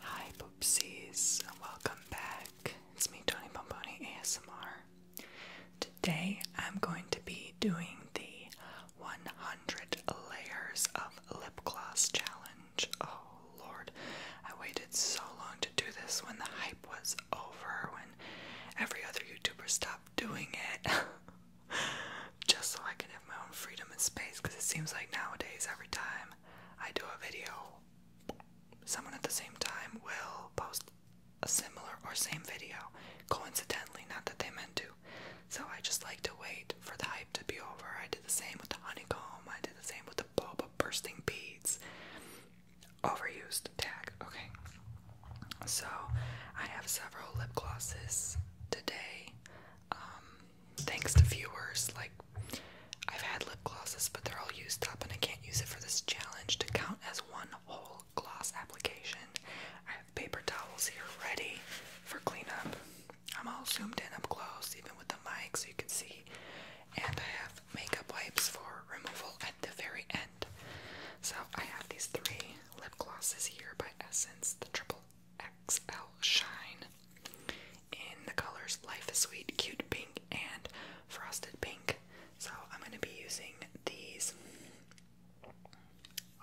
Hi Poopsies, welcome back. It's me, Tony Pomponi ASMR. Today I'm going to be doing the 100 Layers of Lip Gloss Challenge. Oh lord, I waited so long to do this when the hype was over, when every other YouTuber stopped doing it. Just so I could my own freedom in space because it seems like nowadays every time I do a video, someone at the same time will post a similar or same video, coincidentally, not that they meant to. So I just like to wait for the hype to be over. I did the same with the honeycomb, I did the same with the bulb of bursting beads. Overused tag, okay. So I have several lip glosses today. Um, thanks to viewers, like I've had lip glosses, but they're all used up, and I can't use it for this challenge to count as one whole gloss application. I have paper towels here ready for cleanup. I'm all zoomed in up close, even with the mic, so you can see. And I have makeup wipes for removal at the very end. So I have these three lip glosses here by Essence, the Triple XL Shine in the colors Life is Sweet, Cute Pink, and Frosted Pink. So I'm going to be using these.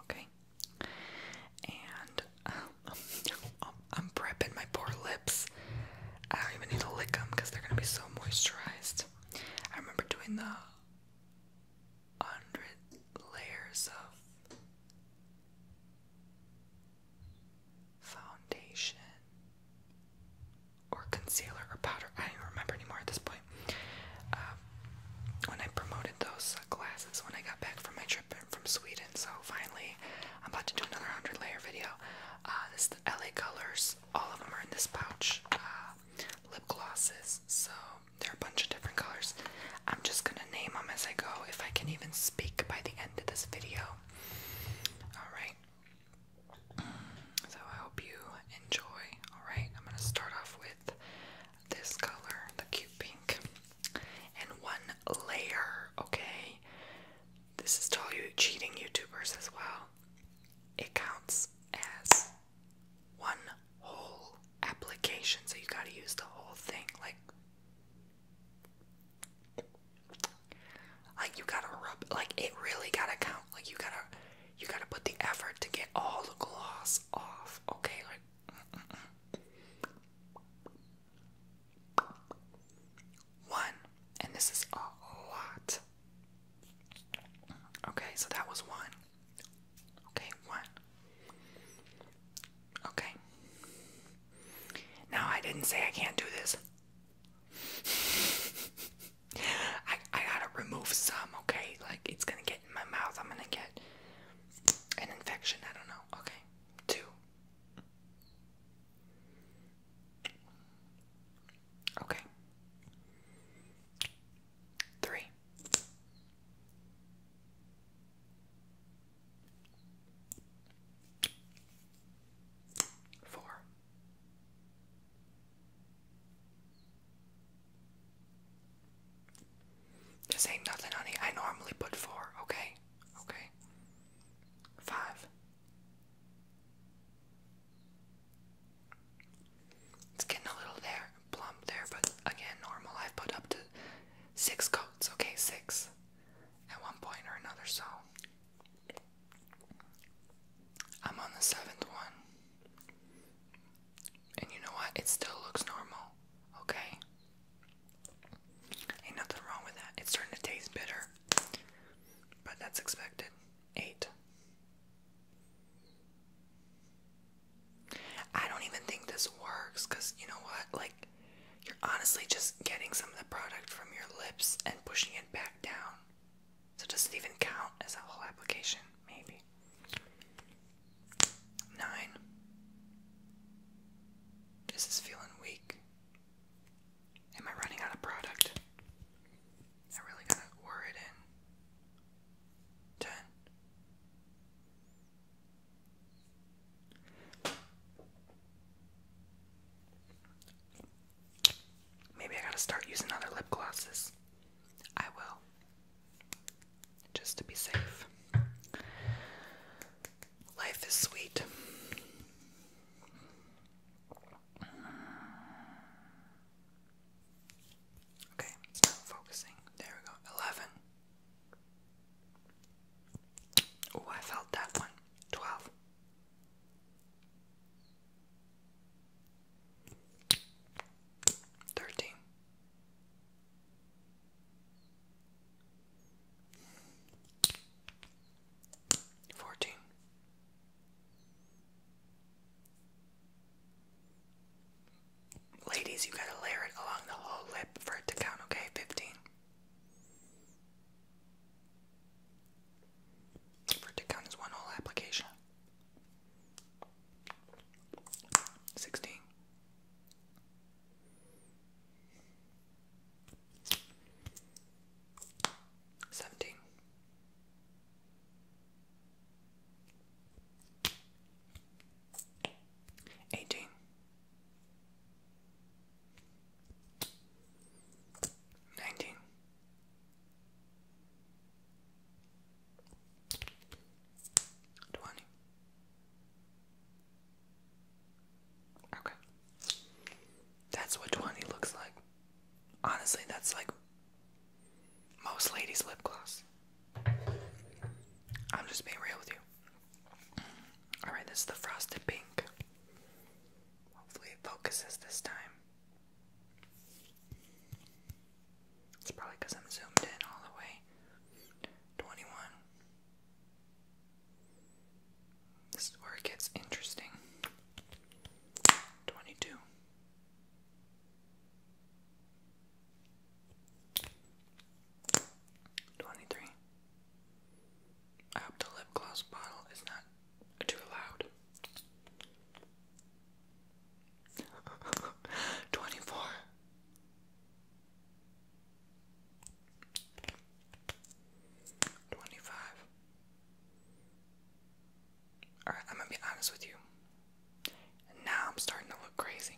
Okay. And um, I'm prepping my poor lips. I don't even need to lick them because they're going to be so moisturized. I remember doing the 100 layers of foundation or concealer or powder. I don't even remember anymore at this point. Um, when I promoted those glasses when I got back from my trip from Sweden, so finally I'm about to do another 100 layer video. Uh, this is the LA Colors, all of them are in this pouch. Uh, lip glosses, so there are a bunch of different colors. I'm just gonna name them as I go if I can even speak by the end of this video. Alright. So I hope you enjoy. Alright, I'm gonna start off with this color, the cute pink. And one layer, okay? This is all you cheating YouTubers as well. It counts as one whole application, so you gotta use the whole thing, like like you gotta rub, like it really gotta count. Like you gotta, you gotta put the effort to get all the gloss off. Okay, like. One, and this is a lot. Okay, so that was one. Okay, one. Okay. Now I didn't say I can't do this. I I gotta remove some, okay? Like it's gonna get in my mouth. I'm gonna get an infection. I don't know. Okay. Two. Okay. Three. Four. This ain't nothing, honey. I normally put four, okay? Okay. Five. It's getting a little there, plump there, but again, normal. i put up to six coats, okay? Six at one point or another, so I'm on the seventh one. And you know what? It still looks normal, okay? Ain't nothing wrong with that. It's starting to taste bitter, but that's expected. Eight. I don't even think this works because you know what? Like, you're honestly just getting some of the product from your lips and pushing it back down. So does it even count as a whole application? Maybe. Nine. This is feeling weak. Am I running out of product? I really gotta wore it in. Ten. Maybe I gotta start using other lip glosses. I will. Just to be safe. Life is sweet. Okay, stop focusing. There we go. 11. Oh, I felt that one. Twelve. Thirteen. Fourteen. Ladies, you gotta layer it along the whole lip for it to count, okay? Fifteen. For it one whole application. Sixteen. Seventeen. Eighteen. Nineteen. Twenty. Okay. That's what 20 looks like. Honestly, that's like most ladies' lip gloss. I'm just being real with you. Alright, this is the frosted pink. Hopefully, it focuses this time. It's probably because I'm zoomed in all the way. 21. This where it gets interesting. 22. Twenty-three. I hope the lip gloss bottle is not too loud. Twenty-four. Twenty-five. Alright, I'm gonna be honest with you. Now I'm starting to look crazy.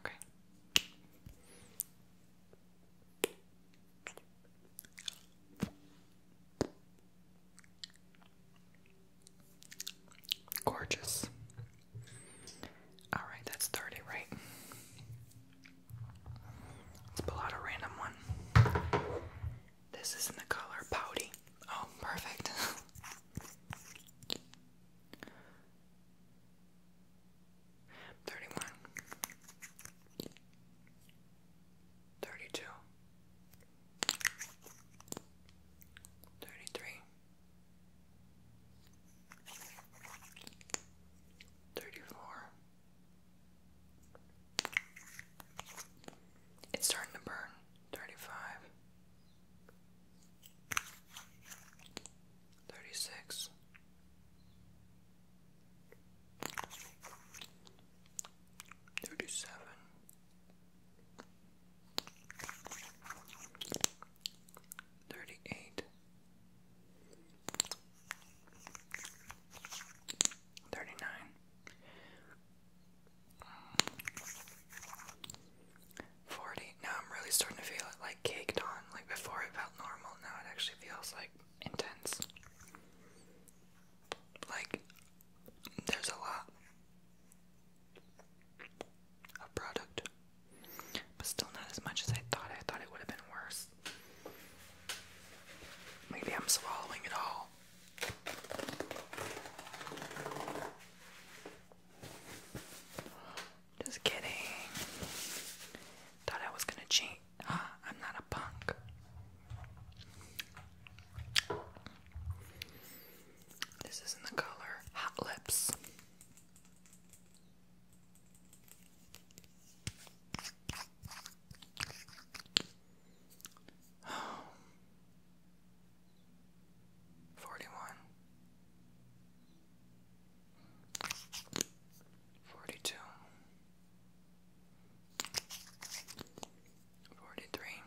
Okay. Gorgeous. All right, that's 30, right? Let's pull out a random one. This is in the color Pouty. Oh, perfect. Thirty one, thirty two, thirty three, thirty four. It's starting to burn. Thirty five. 36 37 38 39 40. Now I'm really starting to feel it like caked on. Like before it felt normal, now it actually feels like intense. Like there's a lot of product, but still not as much as I thought. I thought it would have been worse. Maybe I'm swallowing it all. Just kidding. Thought I was gonna cheat. Ah, I'm not a punk. This is in the color Hot Lips. Forty one. Forty two. Forty three.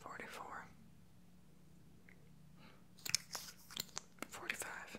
Forty four. Forty one, forty two, forty three, forty four, forty five.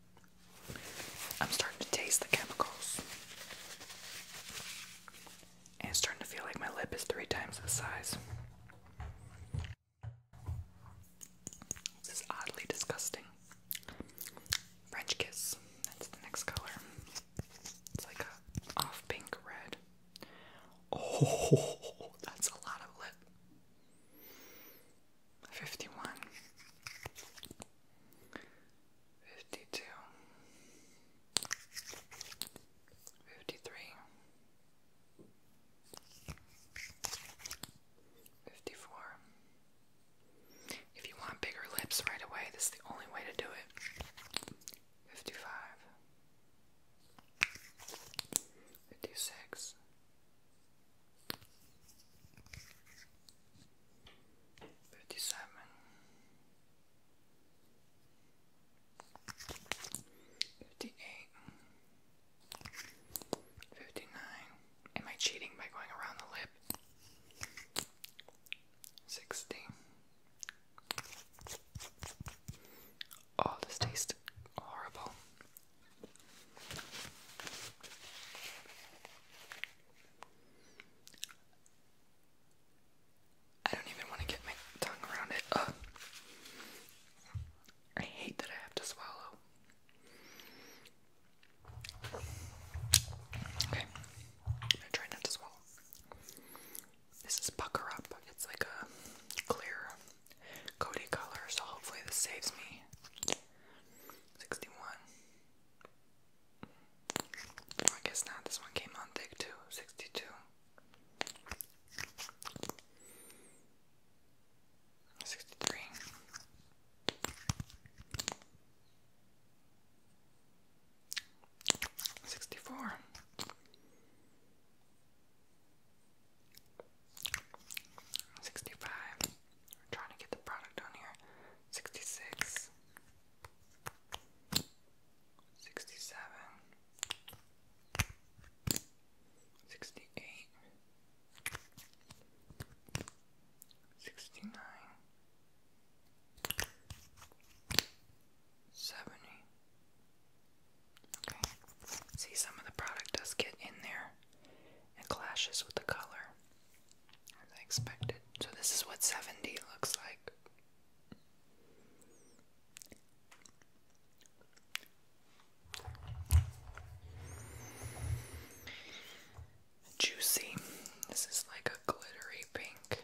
I'm starting to taste the chemicals. And it's starting to feel like my lip is three times the size. This is oddly disgusting. French Kiss. That's the next color. It's like a off pink red. Oh, that's a lot of lip. 51 52 53 54 If you want bigger lips right away, this is the only way to do it. 55 56 Thirty-seven. Am I cheating by going around the lip? Sixty. Oh, this tastes horrible. I don't even want to get my tongue around it. I hate that I have to swallow. Okay, I'm gonna try not to swallow. This is Pucker Up. It's like a clear Cody color, so hopefully this saves me. 61. I guess not. This one came on thick too. 62. 63. Sixty four, 65. trying to get the product on here. 66. 67. 68. 69. 70. Okay. See, some of the product does get in there. It clashes with the color as I expected. So this is what seventy looks like. Juicy. This is like a glittery pink.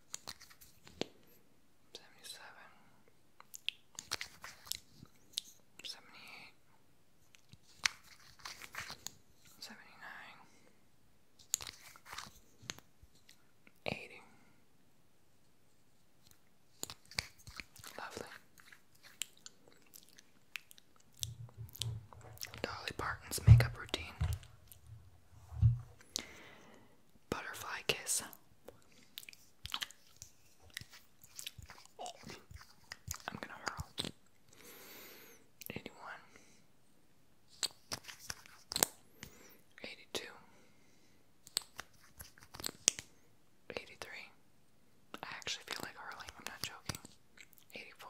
Seventy-seven, seventy-eight, seventy-nine, eighty. Lovely. Dolly Parton's makeup routine. Butterfly kiss. I'm gonna hurl. Eighty one. Eighty two. Eighty three. I actually feel like hurling, I'm not joking. Eighty four.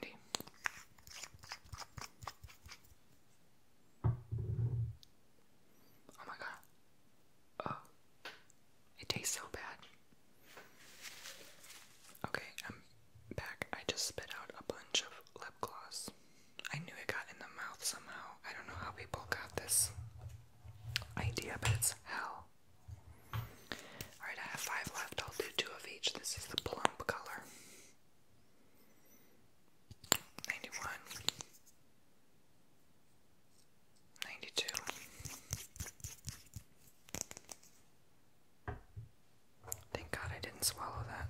90. Oh my god. Oh. It tastes so bad. Okay, I'm back. I just spit out a bunch of lip gloss. I knew it got in the mouth somehow. I don't know how people got this idea, but it's hell. Alright, I have five left. I'll do two of each. This is the plump color ninety one, ninety two, thank God I didn't swallow that.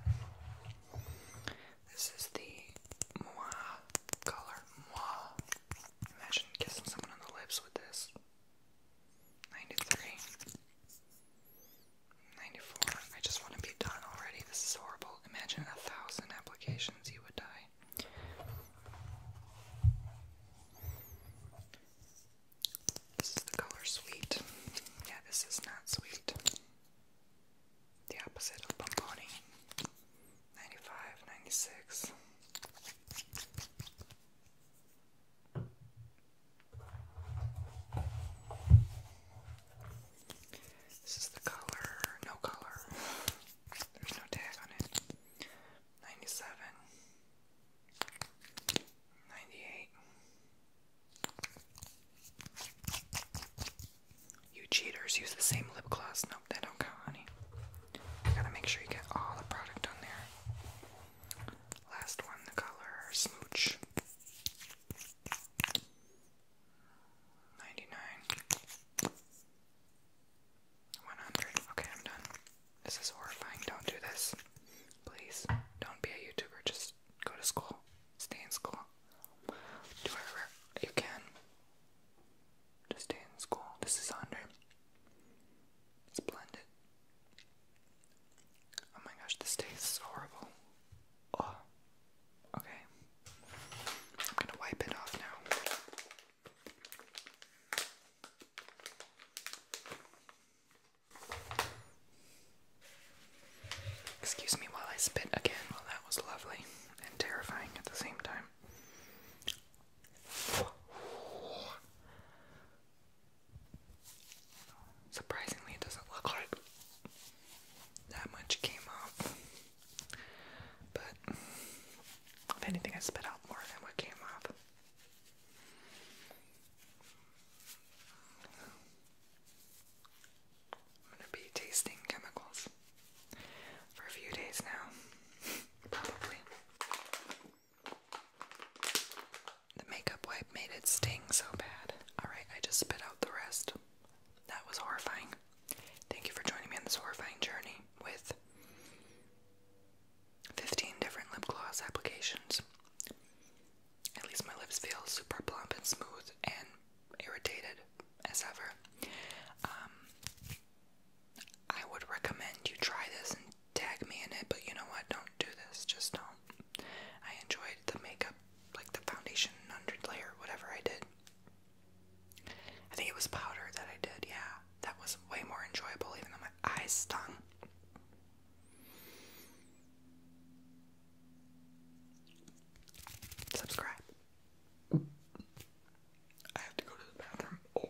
This is the moi color. Moi. Imagine kissing someone on the lips with this. Ninety three. 94. I just want to be done already. This is horrible. Imagine a thousand applications, you would die. This is the color sweet. Yeah, this is not sweet. The opposite of bomboni. 95, this is the color, no color. There's no tag on it. 97 You cheaters use the same lip gloss. Nope, that don't honey. gotta make sure you get all the product on there. Last one, the color smooch. 99 100 okay I'm done this is horrifying don't do this please don't be a youtuber just go to school stay in school do whatever you can just stay in school this is 100 splendid Oh my gosh, this tastes horrible. Oh. Okay. I'm gonna wipe it off now. Excuse me while I spit again. Well, that was lovely and terrifying at the same time. Surprisingly, it doesn't look like that much came off. But if anything, I spit out more than what came off. I'm gonna be tasting chemicals for a few days now, probably. The makeup wipe made it sting so bad. Alright, I just spit out the rest. That was horrifying. Thank you for joining me on this horrifying journey with 15 different lip gloss applications. At least my lips feel super plump and smooth and irritated as ever. Um, I would recommend you try this and tag me in it, but you know what? Don't do this. Just don't. I enjoyed the makeup, like the foundation under layer, whatever I did. I think it was powder that I did, yeah. That was way more enjoyable, even though my eyes stung. Subscribe. I have to go to the bathroom. Oh.